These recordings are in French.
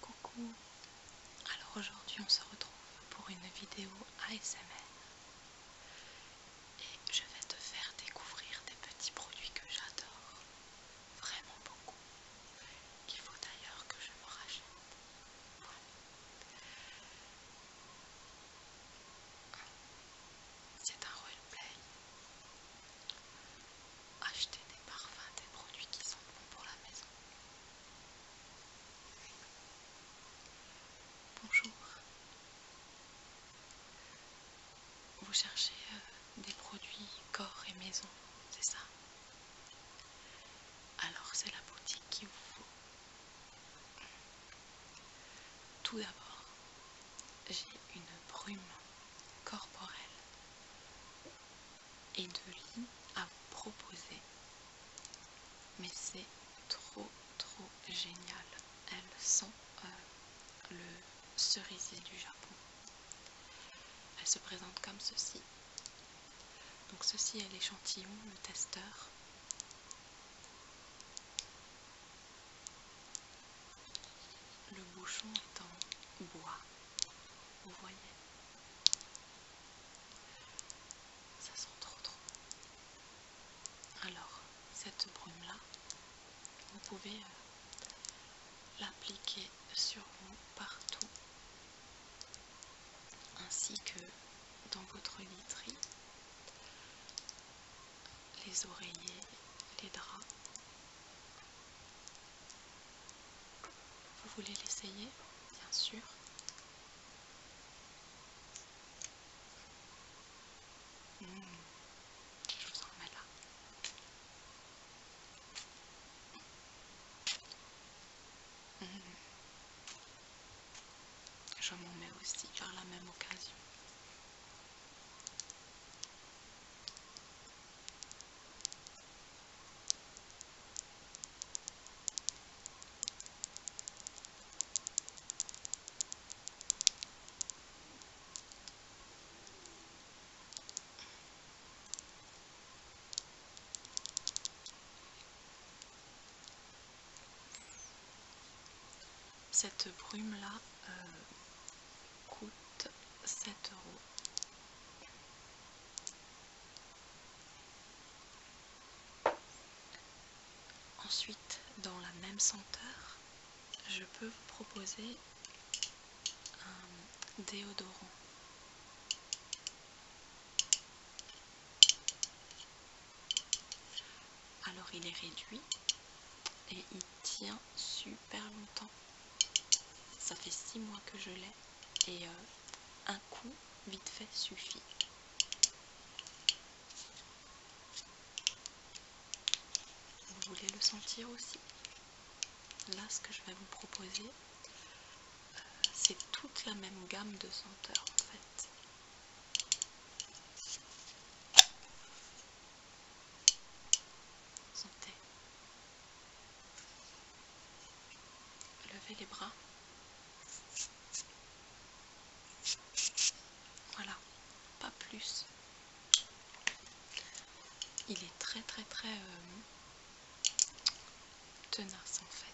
Coucou Alors aujourd'hui on se retrouve pour une vidéo ASMR et je vais te faire découvrir des petits produits que j'adore vraiment beaucoup qu'il faut d'ailleurs que je me rachète. C'est un play. achetez des parfums, des produits qui sont bons pour la maison. Bonjour. Vous cherchez euh, des produits corps et maison, c'est ça Alors c'est la boutique qui vous faut tout d'abord, j'ai une brume corporelle et de lits à proposer. Mais c'est trop trop génial. Elle sent euh, le cerisier du Japon. Elle se présente comme ceci. Donc ceci est l'échantillon, le testeur le bouchon est en bois, vous voyez Ça sent trop trop Alors, cette brume-là, vous pouvez euh, l'appliquer sur vous partout ainsi que dans votre literie, les oreillers, les draps. Vous voulez l'essayer, bien sûr. Mmh. je vous en mets là. Mmh. Je m'en mets aussi par la même occasion. Cette brume là euh, coûte 7 euros. Ensuite, dans la même senteur, je peux vous proposer un déodorant. Alors il est réduit et il tient super longtemps. Ça fait 6 mois que je l'ai et euh, un coup vite fait suffit. Vous voulez le sentir aussi Là ce que je vais vous proposer, c'est toute la même gamme de senteurs en fait. Sentez. Levez les bras. Voilà, pas plus. Il est très très très euh, tenace en fait.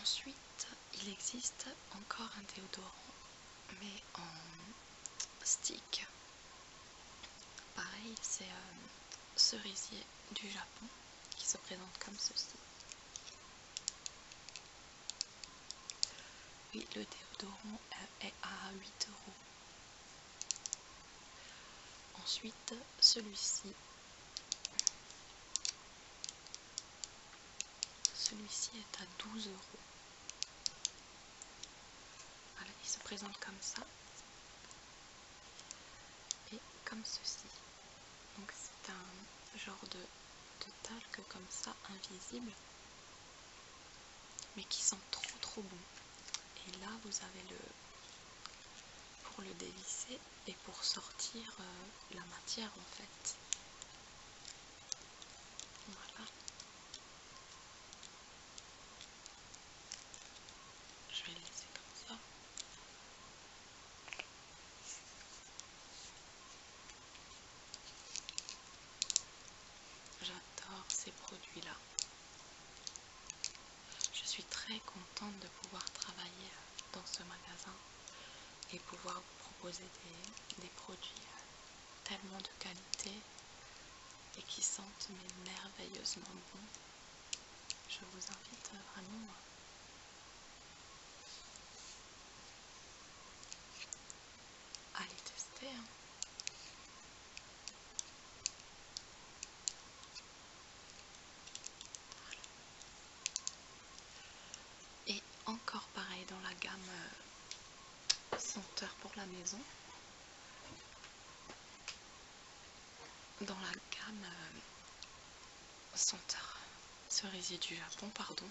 Ensuite, il existe encore un déodorant, mais en stick Pareil, c'est un euh, cerisier du Japon qui se présente comme ceci. Oui, le déodorant est à 8 euros. Ensuite, celui-ci. Celui-ci est à 12 euros. Voilà, il se présente comme ça et comme ceci. Donc c'est un genre de, de talc comme ça, invisible, mais qui sent trop trop bon. Et là vous avez le pour le dévisser et pour sortir euh, la matière en fait. Voilà. Je vais laisser comme ça. J'adore ces produits-là. Je suis très contente de pouvoir travailler dans ce magasin et pouvoir vous proposer des, des produits tellement de qualité et qui sentent mais merveilleusement bon. Je vous invite vraiment à les tester. Hein. Et encore pareil dans la gamme euh, senteur pour la maison dans la gamme Center euh, cerisier du Japon, pardon,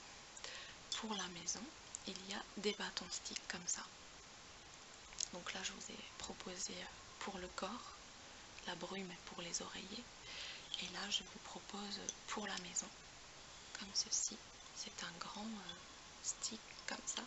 pour la maison, il y a des bâtons sticks comme ça. Donc là, je vous ai proposé euh, pour le corps, la brume pour les oreillers. Et là, je vous propose euh, pour la maison, comme ceci. C'est un grand stick comme ça.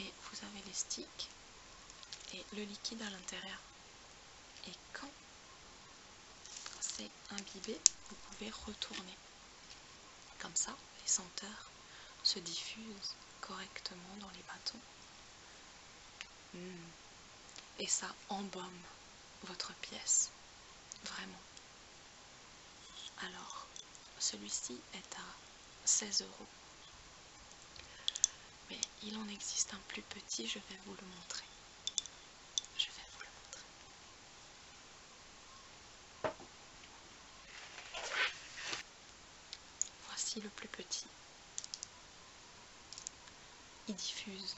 et vous avez les sticks et le liquide à l'intérieur. Et quand c'est imbibé, vous pouvez retourner. Comme ça, les senteurs se diffusent correctement dans les bâtons. Hmm. Et ça embaume votre pièce. Vraiment. Alors, celui-ci est à 16 euros. Mais il en existe un plus petit, je vais vous le montrer. Je vais vous le montrer. Voici le plus petit. Il diffuse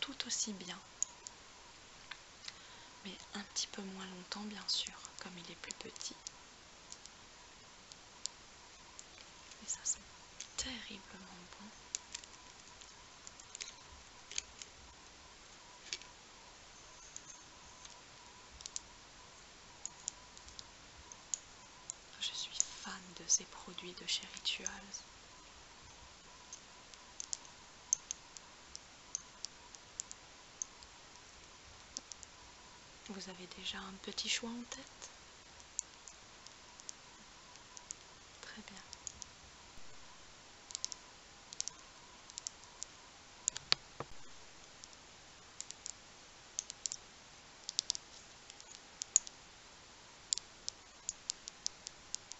tout aussi bien mais un petit peu moins longtemps bien sûr, comme il est plus petit. Mais ça sent terriblement bon. Je suis fan de ces produits de chez Rituals. Vous avez déjà un petit choix en tête Très bien.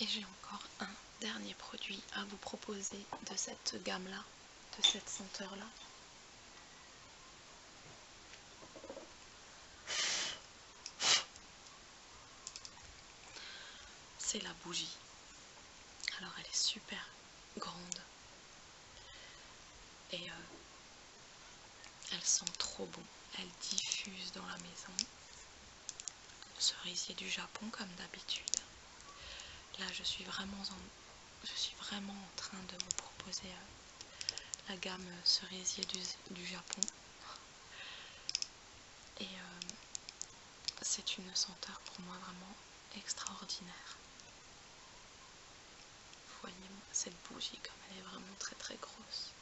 Et j'ai encore un dernier produit à vous proposer de cette gamme-là, de cette senteur-là. C'est la bougie. Alors elle est super grande. Et euh, elle sent trop bon. Elle diffuse dans la maison cerisier du Japon comme d'habitude. Là je suis vraiment en, je suis vraiment en train de vous proposer euh, la gamme euh, cerisier du, Japon. Et euh, c'est une senteur pour moi vraiment extraordinaire. voyez moi cette bougie comme elle est vraiment très très grosse.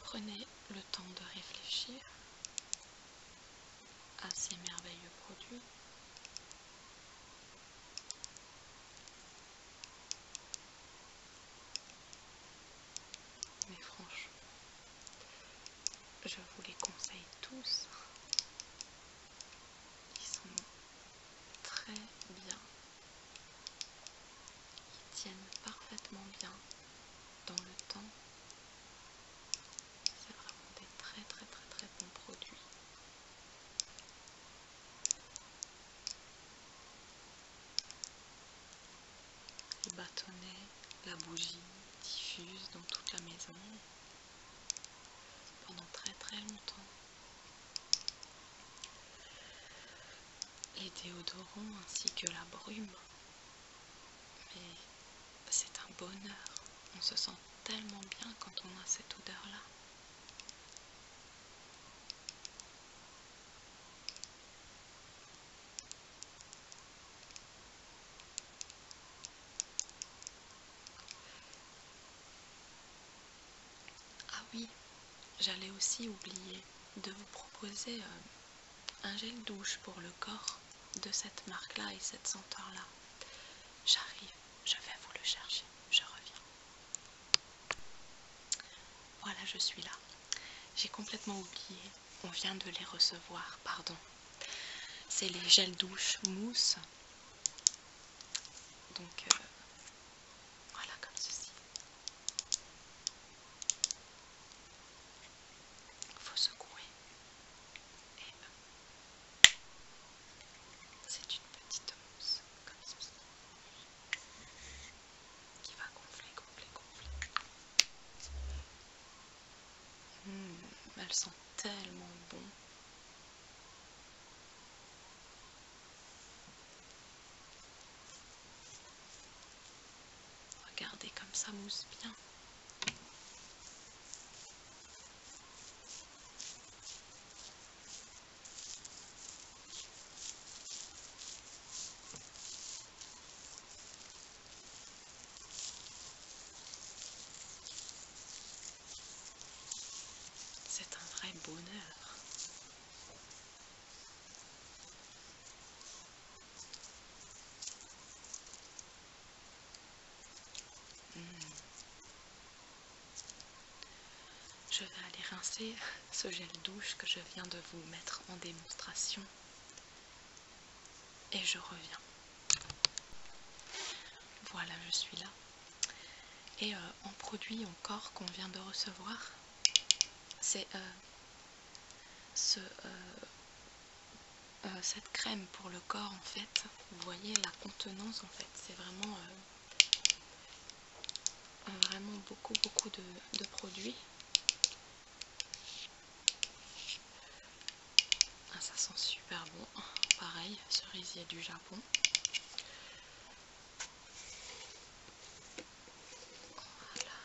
Prenez le temps de réfléchir à ces merveilleux produits. Mais franchement, je vous les conseille tous. Ils sont très bien. Ils tiennent parfaitement bien dans le temps. C'est vraiment des très très très très bons produits les bâtonnets, la bougie diffuse dans toute la maison pendant très très longtemps. Les déodorants ainsi que la brume. Mais c'est un bonheur. On se sent tellement bien quand on a cette odeur-là. Ah oui, j'allais aussi oublier de vous proposer euh, un gel douche pour le corps de cette marque-là et cette senteur-là. J'arrive, je vais vous le chercher, je reviens. Voilà, je suis là. J'ai complètement oublié. On vient de les recevoir, pardon. C'est les gels douche mousse. Donc, euh, voilà comme ceci. Faut secouer. Euh, c'est une petite mousse comme ceci qui va gonfler, gonfler, gonfler. Hmm, elle sent tellement bon. Regardez comme ça mousse bien. C'est un vrai bonheur. Hmm je vais aller rincer ce gel douche que je viens de vous mettre en démonstration et je reviens. Voilà, je suis là. Et euh, en produit encore qu'on vient de recevoir, c'est euh, euh, cette crème pour le corps en fait. Vous voyez la contenance en fait, c'est vraiment vraiment beaucoup beaucoup de, produits. Ah, ça sent super bon, pareil, cerisier du Japon. Voilà,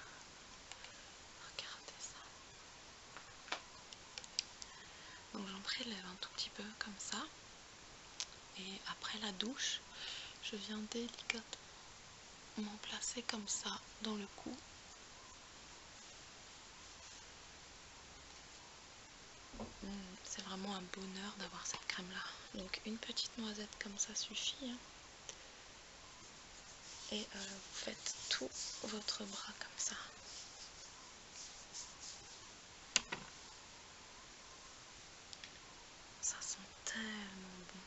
regardez ça. Donc j'en prélève un tout petit peu comme ça. Et après la douche, je viens délicatement placer comme ça dans le cou. Hmm, c'est vraiment un bonheur d'avoir cette crème là. Donc une petite noisette comme ça suffit. Hein. Et euh, vous faites tout votre bras comme ça. Ça sent tellement bon.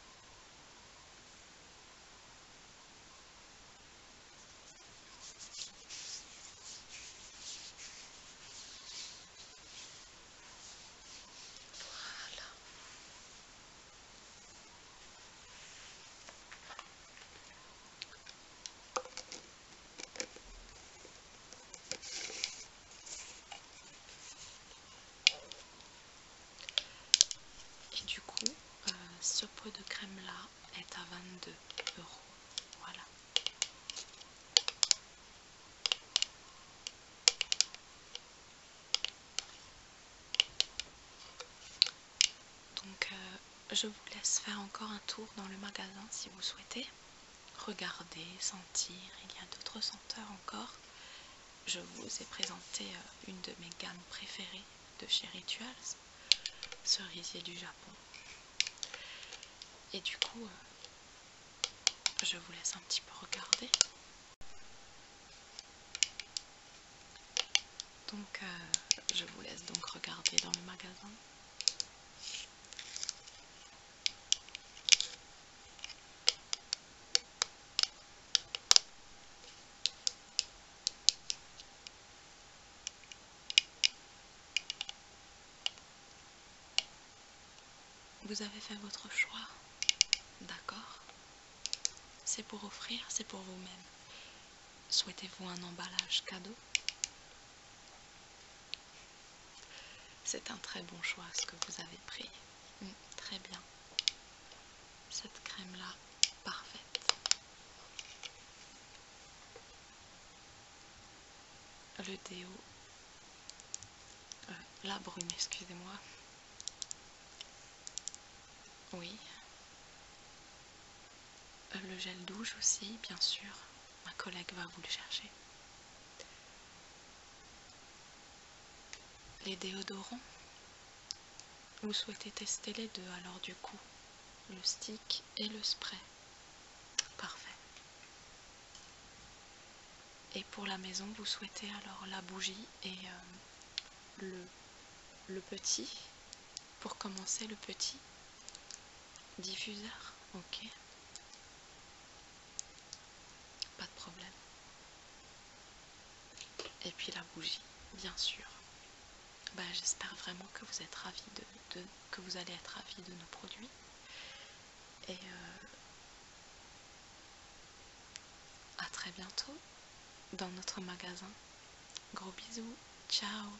Voilà. Et du coup, euh, ce pot de crème là est à 22 euros. Voilà. Donc, euh, je vous laisse faire encore un tour dans le magasin si vous souhaitez regarder, sentir. Il y a d'autres senteurs encore. Je vous ai présenté euh, une de mes gammes préférées de chez Rituals, cerisier du Japon. Et du coup, euh, je vous laisse un petit peu regarder. Donc, euh, je vous laisse donc regarder dans le magasin. Vous avez fait votre choix, d'accord C'est pour offrir, c'est pour vous-même. Souhaitez-vous un emballage cadeau c'est un très bon choix ce que vous avez pris. Mm. très bien. Cette crème-là, parfaite. Le déo. Euh, la brune, excusez-moi. Oui. Euh, le gel douche aussi, bien sûr. Ma collègue va vous le chercher. Les déodorants Vous souhaitez tester les deux, alors du coup, le stick et le spray. Parfait. Et pour la maison, vous souhaitez alors la bougie et euh, le, le petit, pour commencer le petit diffuseur. Ok. Pas de problème. Et puis la bougie, bien sûr. Bah, j'espère vraiment que vous êtes de, que vous allez être ravis de nos produits. Et euh, à très bientôt dans notre magasin. Gros bisous, ciao